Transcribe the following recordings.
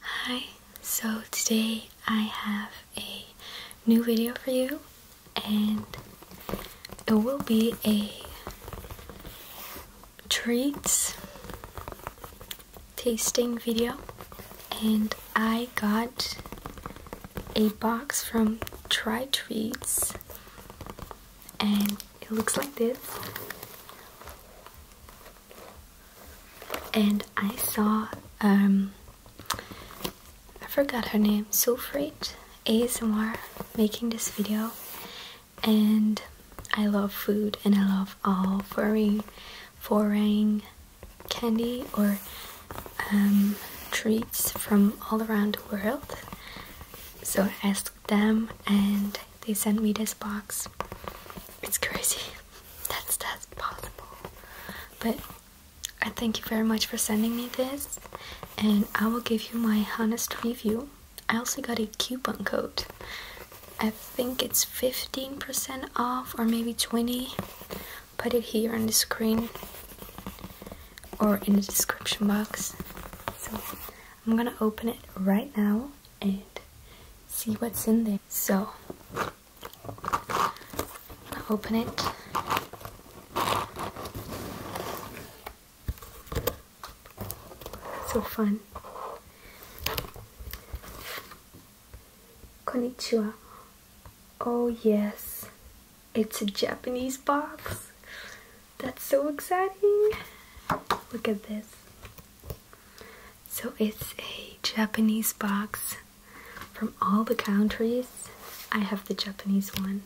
Hi, so today I have a new video for you and it will be a treats tasting video and I got a box from Try Treats, and it looks like this. And I saw, um, I forgot her name, Sulfrate ASMR making this video, and I love food and I love all furry, foreign candy or um, treats from all around the world. So I asked them and they sent me this box. It's crazy. That's that's possible. But I thank you very much for sending me this and I will give you my honest review. I also got a coupon code. I think it's 15% off or maybe 20 put it here on the screen or in the description box. So I'm gonna open it right now and see what's in there. So open it. So fun. Konichiwa. Oh yes. It's a Japanese box. That's so exciting. Look at this. So it's a Japanese box from all the countries. I have the Japanese one.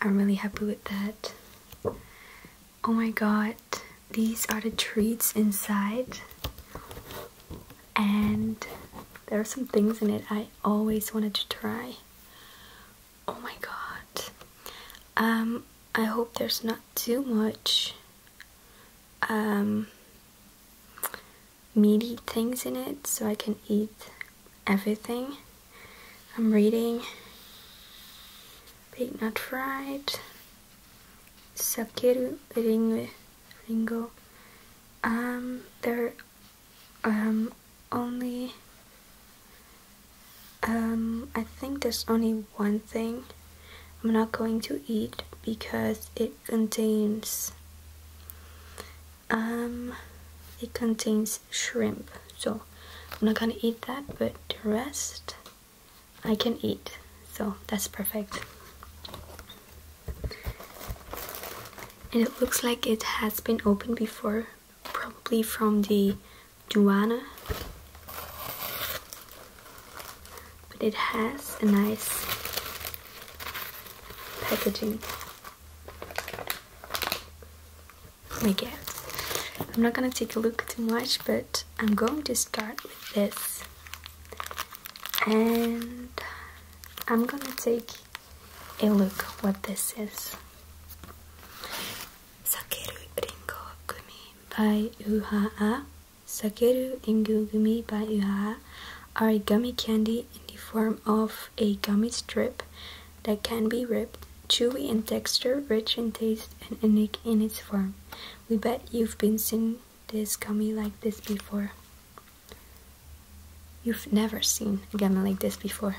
I'm really happy with that. Oh my god, these are the treats inside and there are some things in it I always wanted to try. Oh my god. Um, I hope there's not too much um, meaty things in it so I can eat everything. I'm reading Big Nut Fried, Sakeru Ringo. Um, there um only um I think there's only one thing I'm not going to eat because it contains um it contains shrimp so I'm not gonna eat that but the rest I can eat so that's perfect and it looks like it has been opened before, probably from the Duana. But it has a nice packaging. I guess. I'm not gonna take a look too much, but I'm going to start with this. And I'm gonna take a look what this is. Sakeru Ringo Gumi by Uhaha. Sakeru Ringo Gumi by Uhaha are gummy candy in the form of a gummy strip that can be ripped, chewy in texture, rich in taste, and unique in its form. We bet you've been seeing this gummy like this before. You've never seen a gammon like this before.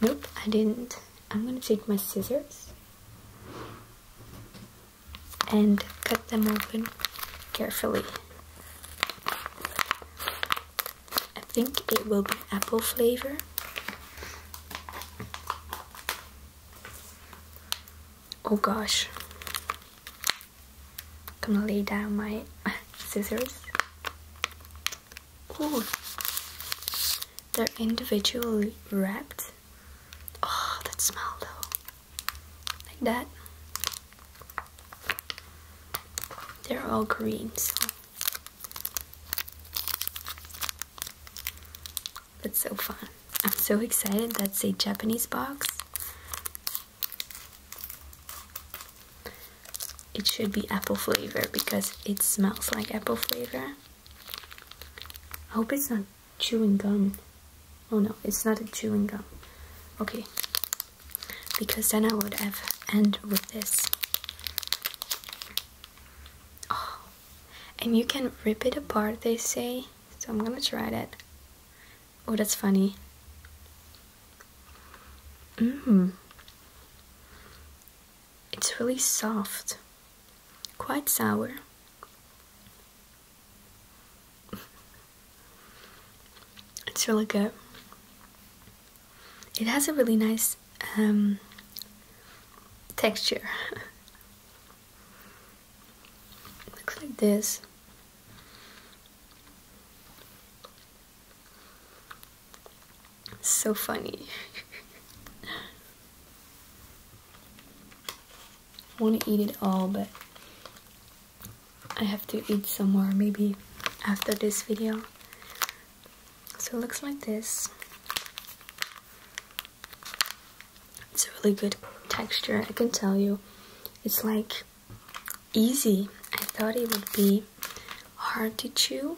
Nope, I didn't. I'm gonna take my scissors and cut them open carefully. I think it will be apple flavor. Oh gosh, I'm gonna lay down my scissors. Ooh, they're individually wrapped. Oh, that smell though. Like that. They're all green, so. That's so fun. I'm so excited. That's a Japanese box. It should be apple flavor because it smells like apple flavor. I hope it's not chewing gum. Oh no, it's not a chewing gum. Okay. Because then I would have end with this. Oh. And you can rip it apart, they say. So I'm gonna try that. Oh, that's funny. Mmm. It's really soft. Quite sour. it's really good. It has a really nice um, texture. looks like this. so funny. want to eat it all, but I have to eat some more maybe after this video. So it looks like this. It's a really good texture, I can tell you. It's like easy. I thought it would be hard to chew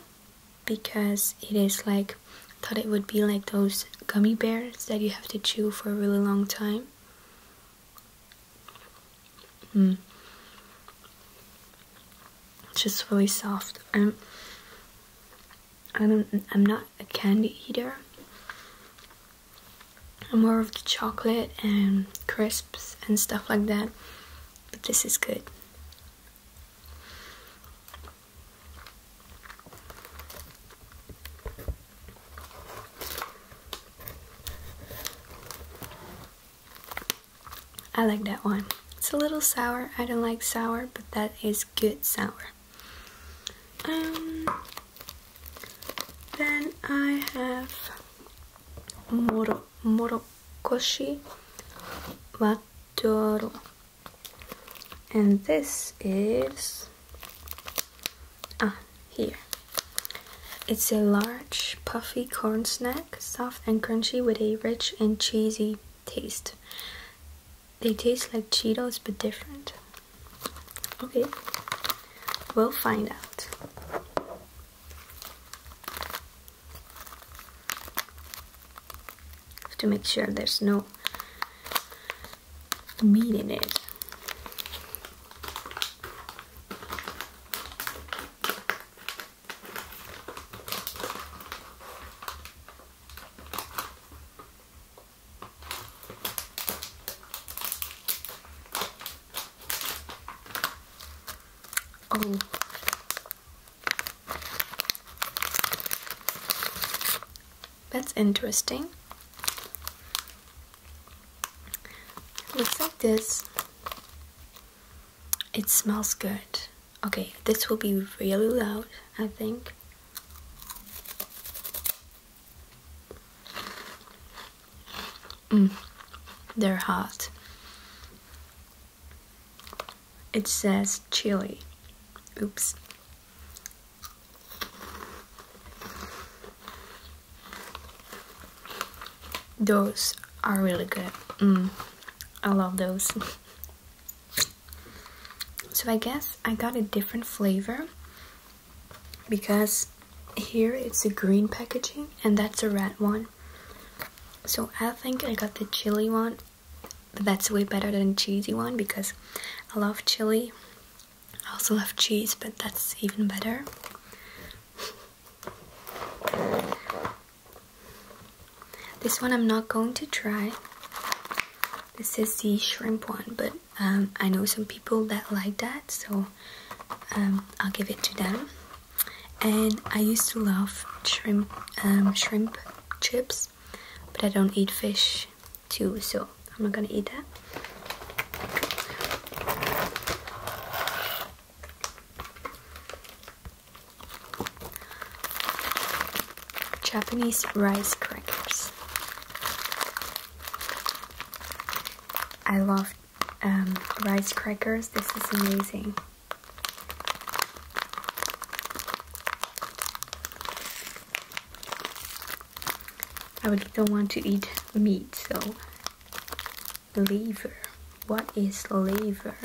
because it is like I thought it would be like those gummy bears that you have to chew for a really long time. Mm. It's just really soft. I'm I don't i am not a candy eater more of the chocolate and crisps and stuff like that. But this is good. I like that one. It's a little sour. I don't like sour, but that is good sour. Um, then I have moro morokoshi wadoro, and this is ah here. It's a large puffy corn snack, soft and crunchy with a rich and cheesy taste. They taste like Cheetos but different. Okay, we'll find out. Have to make sure there's no meat in it. Oh. That's interesting. looks like this. It smells good. Okay, this will be really loud, I think. Mm, they're hot. It says chili. Oops. Those are really good. Mm, I love those. so I guess I got a different flavor because here it's a green packaging and that's a red one so I think I got the chili one but that's way better than cheesy one because I love chili I also love cheese but that's even better this one I'm not going to try this is the shrimp one but um, I know some people that like that, so um, I'll give it to them. And I used to love shrimp, um, shrimp chips, but I don't eat fish too, so I'm not gonna eat that. Japanese rice crackers. I love um, rice crackers, this is amazing. I really don't want to eat meat, so liver. What is liver?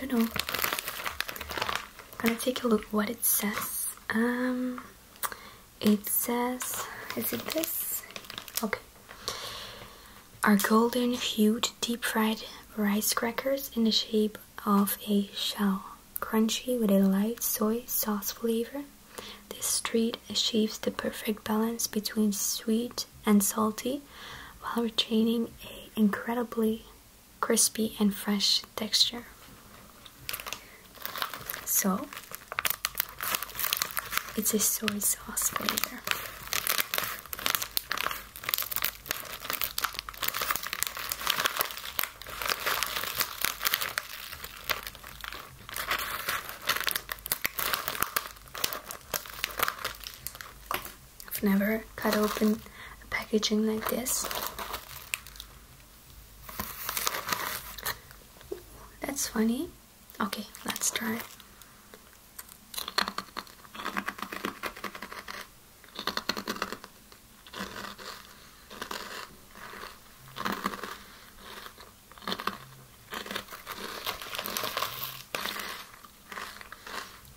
I don't know. I'm gonna take a look what it says. Um, it says, is it this? Okay. Our golden hued deep fried rice crackers in the shape of a shell, crunchy with a light soy sauce flavor. This treat achieves the perfect balance between sweet and salty while retaining a incredibly crispy and fresh texture. So it's a soy sauce flavor. I've never cut open a packaging like this. That's funny. Okay, let's try.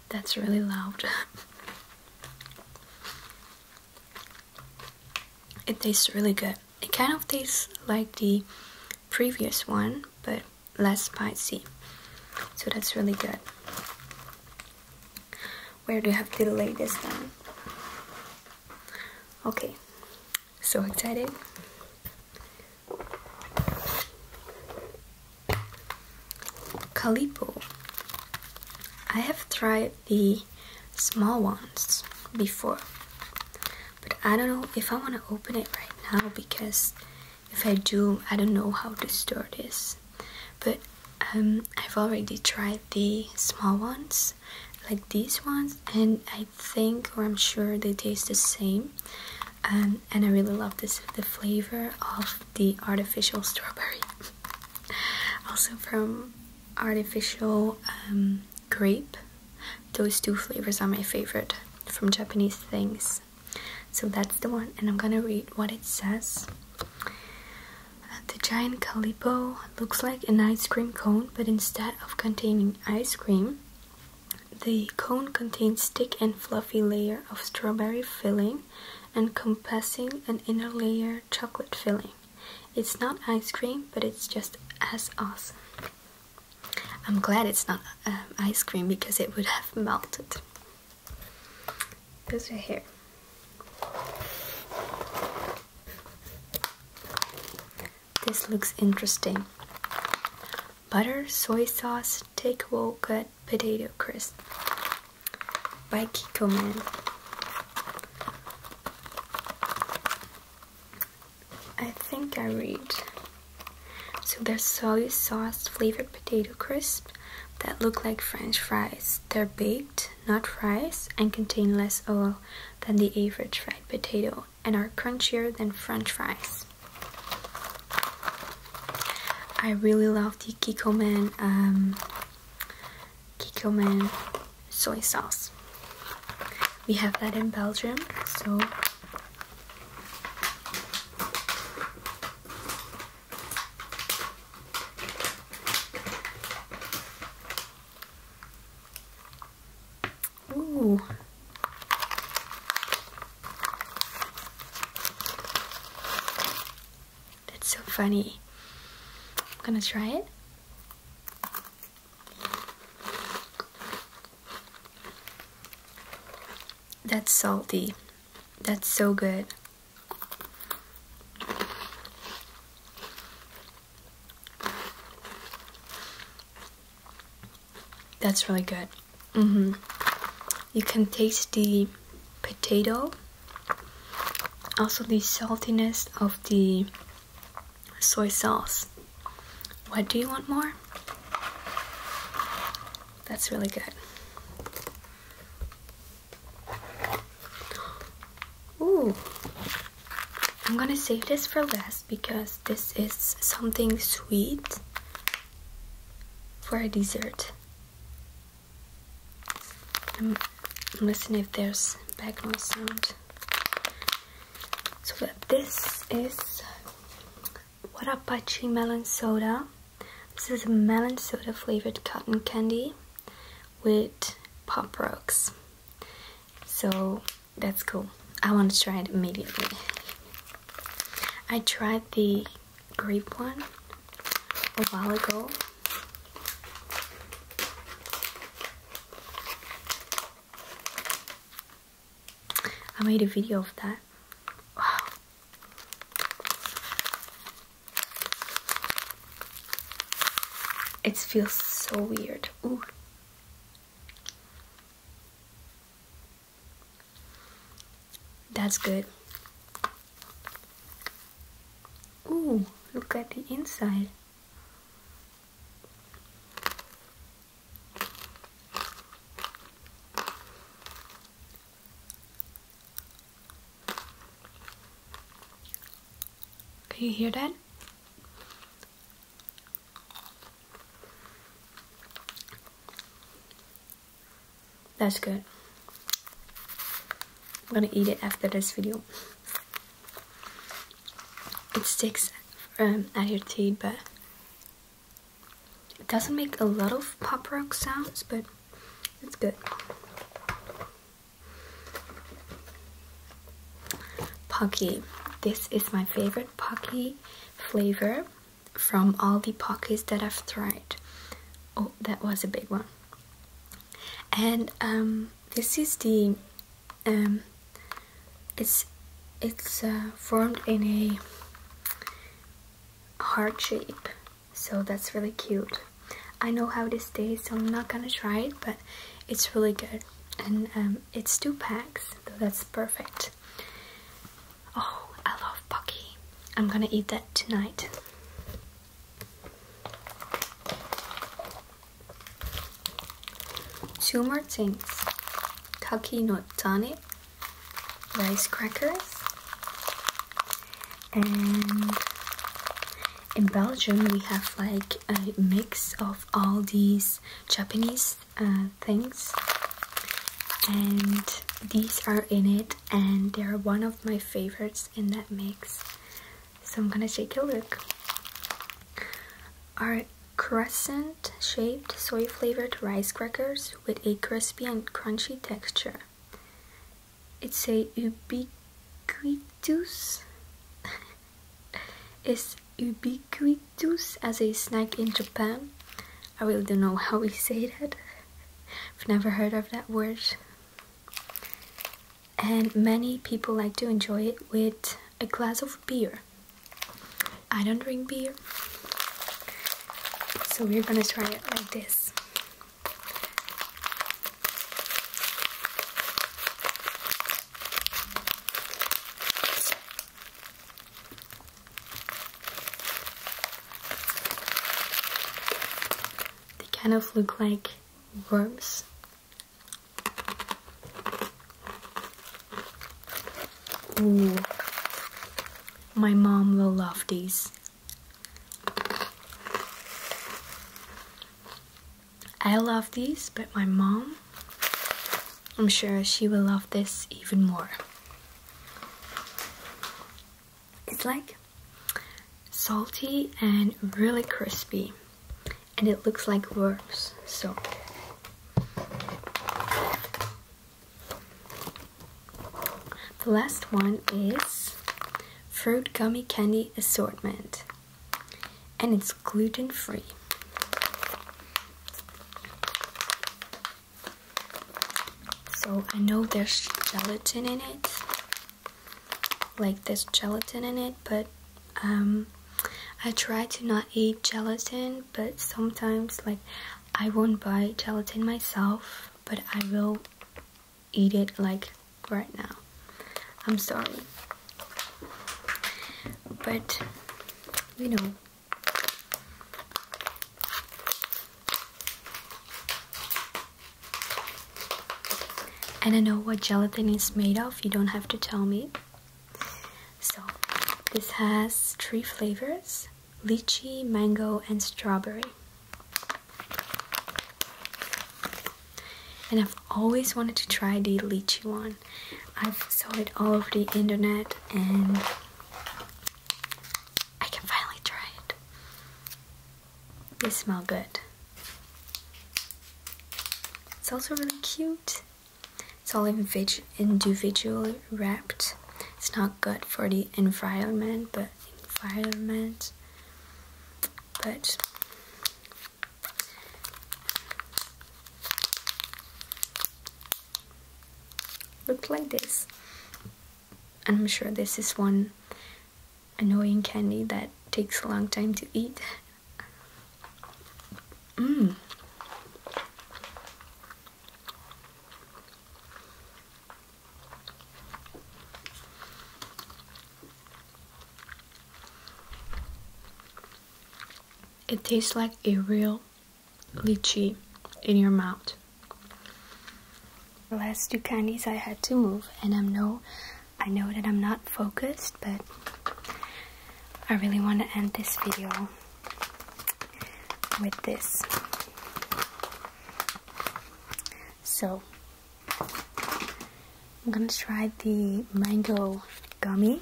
That's really loud. it tastes really good. It kind of tastes like the previous one, but less spicy. So that's really good. Where do you have to lay this down? Okay, so excited. Calipo. I have tried the small ones before, but I don't know if I want to open it right now because if I do, I don't know how to store this. But um, I've already tried the small ones, like these ones, and I think or I'm sure they taste the same. Um, and I really love this the flavor of the artificial strawberry. also from artificial um, grape. Those two flavors are my favorite from Japanese things. So that's the one, and I'm gonna read what it says. the giant calipo looks like an ice cream cone, but instead of containing ice cream, the cone contains thick and fluffy layer of strawberry filling encompassing an inner layer chocolate filling. It's not ice cream, but it's just as awesome. I'm glad it's not um, ice cream because it would have melted. Goes right here. This looks interesting. Butter, soy sauce, takeaway cut potato crisp by Kikoman. I think I read. So there's soy sauce flavored potato crisps that look like french fries. They're baked, not fries, and contain less oil than the average fried potato and are crunchier than french fries. I really love the Kikkoman um, Kikkoman soy sauce. We have that in Belgium, so Ooh. That's so funny. I'm gonna try it. That's salty. That's so good. That's really good. Mm-hmm. You can taste the potato, also the saltiness of the soy sauce. What do you want more? That's really good. Ooh, I'm gonna save this for last because this is something sweet for a dessert. I'm listening if there's background sound. So this is Warapachi melon soda. This is a melon soda flavored cotton candy with pop rocks. So that's cool. I want to try it immediately. I tried the grape one a while ago. I made a video of that. Wow. It feels so weird. That's good. Ooh, look at the inside. Can you hear that? That's good. I'm gonna eat it after this video. It sticks um, at to it, but it doesn't make a lot of pop rock sounds, but it's good. Pocky. This is my favorite Pocky flavor from all the Pockys that I've tried. Oh, that was a big one. And um, this is the um, it's it's uh, formed in a heart shape, so that's really cute. I know how this tastes, so I'm not gonna try it, but it's really good. And um, it's two packs, that's perfect. Oh, I love Pocky. I'm gonna eat that tonight. Two more things Taki no Tani, rice crackers, and in Belgium we have like a mix of all these Japanese uh, things and these are in it and they're one of my favorites in that mix so I'm gonna take a look are crescent shaped soy flavored rice crackers with a crispy and crunchy texture it's a ubiquitous is ubiquitous as a snack in Japan. I really don't know how we say that. I've never heard of that word. And many people like to enjoy it with a glass of beer. I don't drink beer. So we're gonna try it like this. They kind of look like worms. Ooh. My mom will love these. I love these, but my mom, I'm sure she will love this even more. It's like salty and really crispy and it looks like worms, so The last one is Fruit Gummy Candy Assortment and it's gluten free. So I know there's gelatin in it, like there's gelatin in it, but um, I try to not eat gelatin, but sometimes like I won't buy gelatin myself, but I will eat it like right now. I'm sorry. But, you know. I don't know what gelatin is made of, you don't have to tell me. So, this has three flavors lychee, mango, and strawberry and I've always wanted to try the lychee one. I've saw it all over the internet and I can finally try it. They smell good. It's also really cute. It's all individually wrapped. It's not good for the environment, but environment. But Look like this. And I'm sure this is one annoying candy that takes a long time to eat. Mmm. It tastes like a real lychee in your mouth. The last two candies I had to move and I'm no I know that I'm not focused but I really want to end this video with this. So I'm gonna try the mango gummy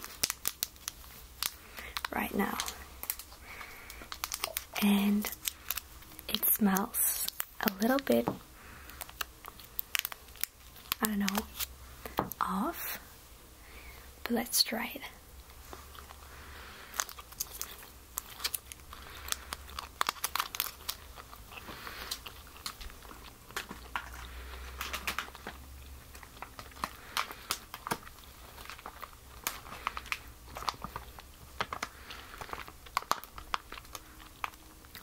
right now. And it smells a little bit, I don't know, off. But let's try it.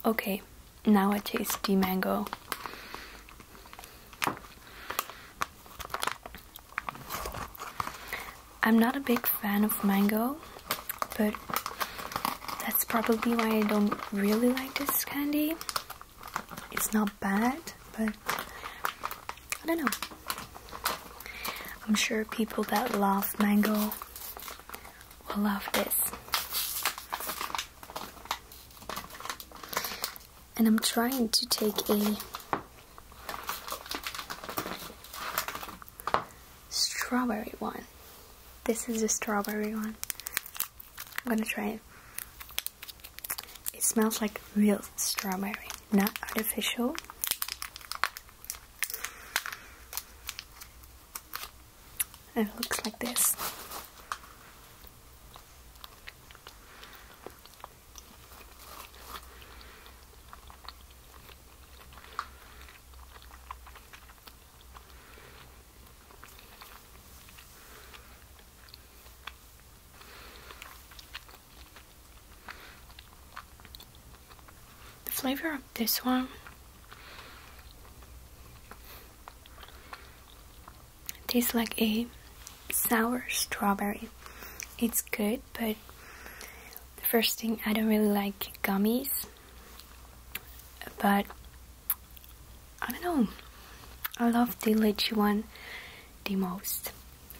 Okay, now I taste the mango. I'm not a big fan of mango, but that's probably why I don't really like this candy. It's not bad, but I don't know. I'm sure people that love mango will love this. And I'm trying to take a strawberry one. This is a strawberry one. I'm gonna try it. It smells like real strawberry, not artificial. it looks like this. The flavor of this one tastes like a sour strawberry. It's good, but the first thing I don't really like gummies but I don't know. I love the lychee one the most.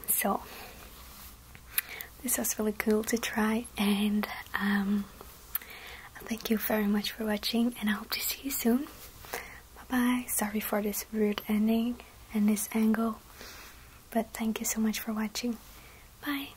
So this was really cool to try and um, thank you very much for watching and I hope to see you soon. Bye bye. Sorry for this weird ending and this angle but thank you so much for watching. Bye.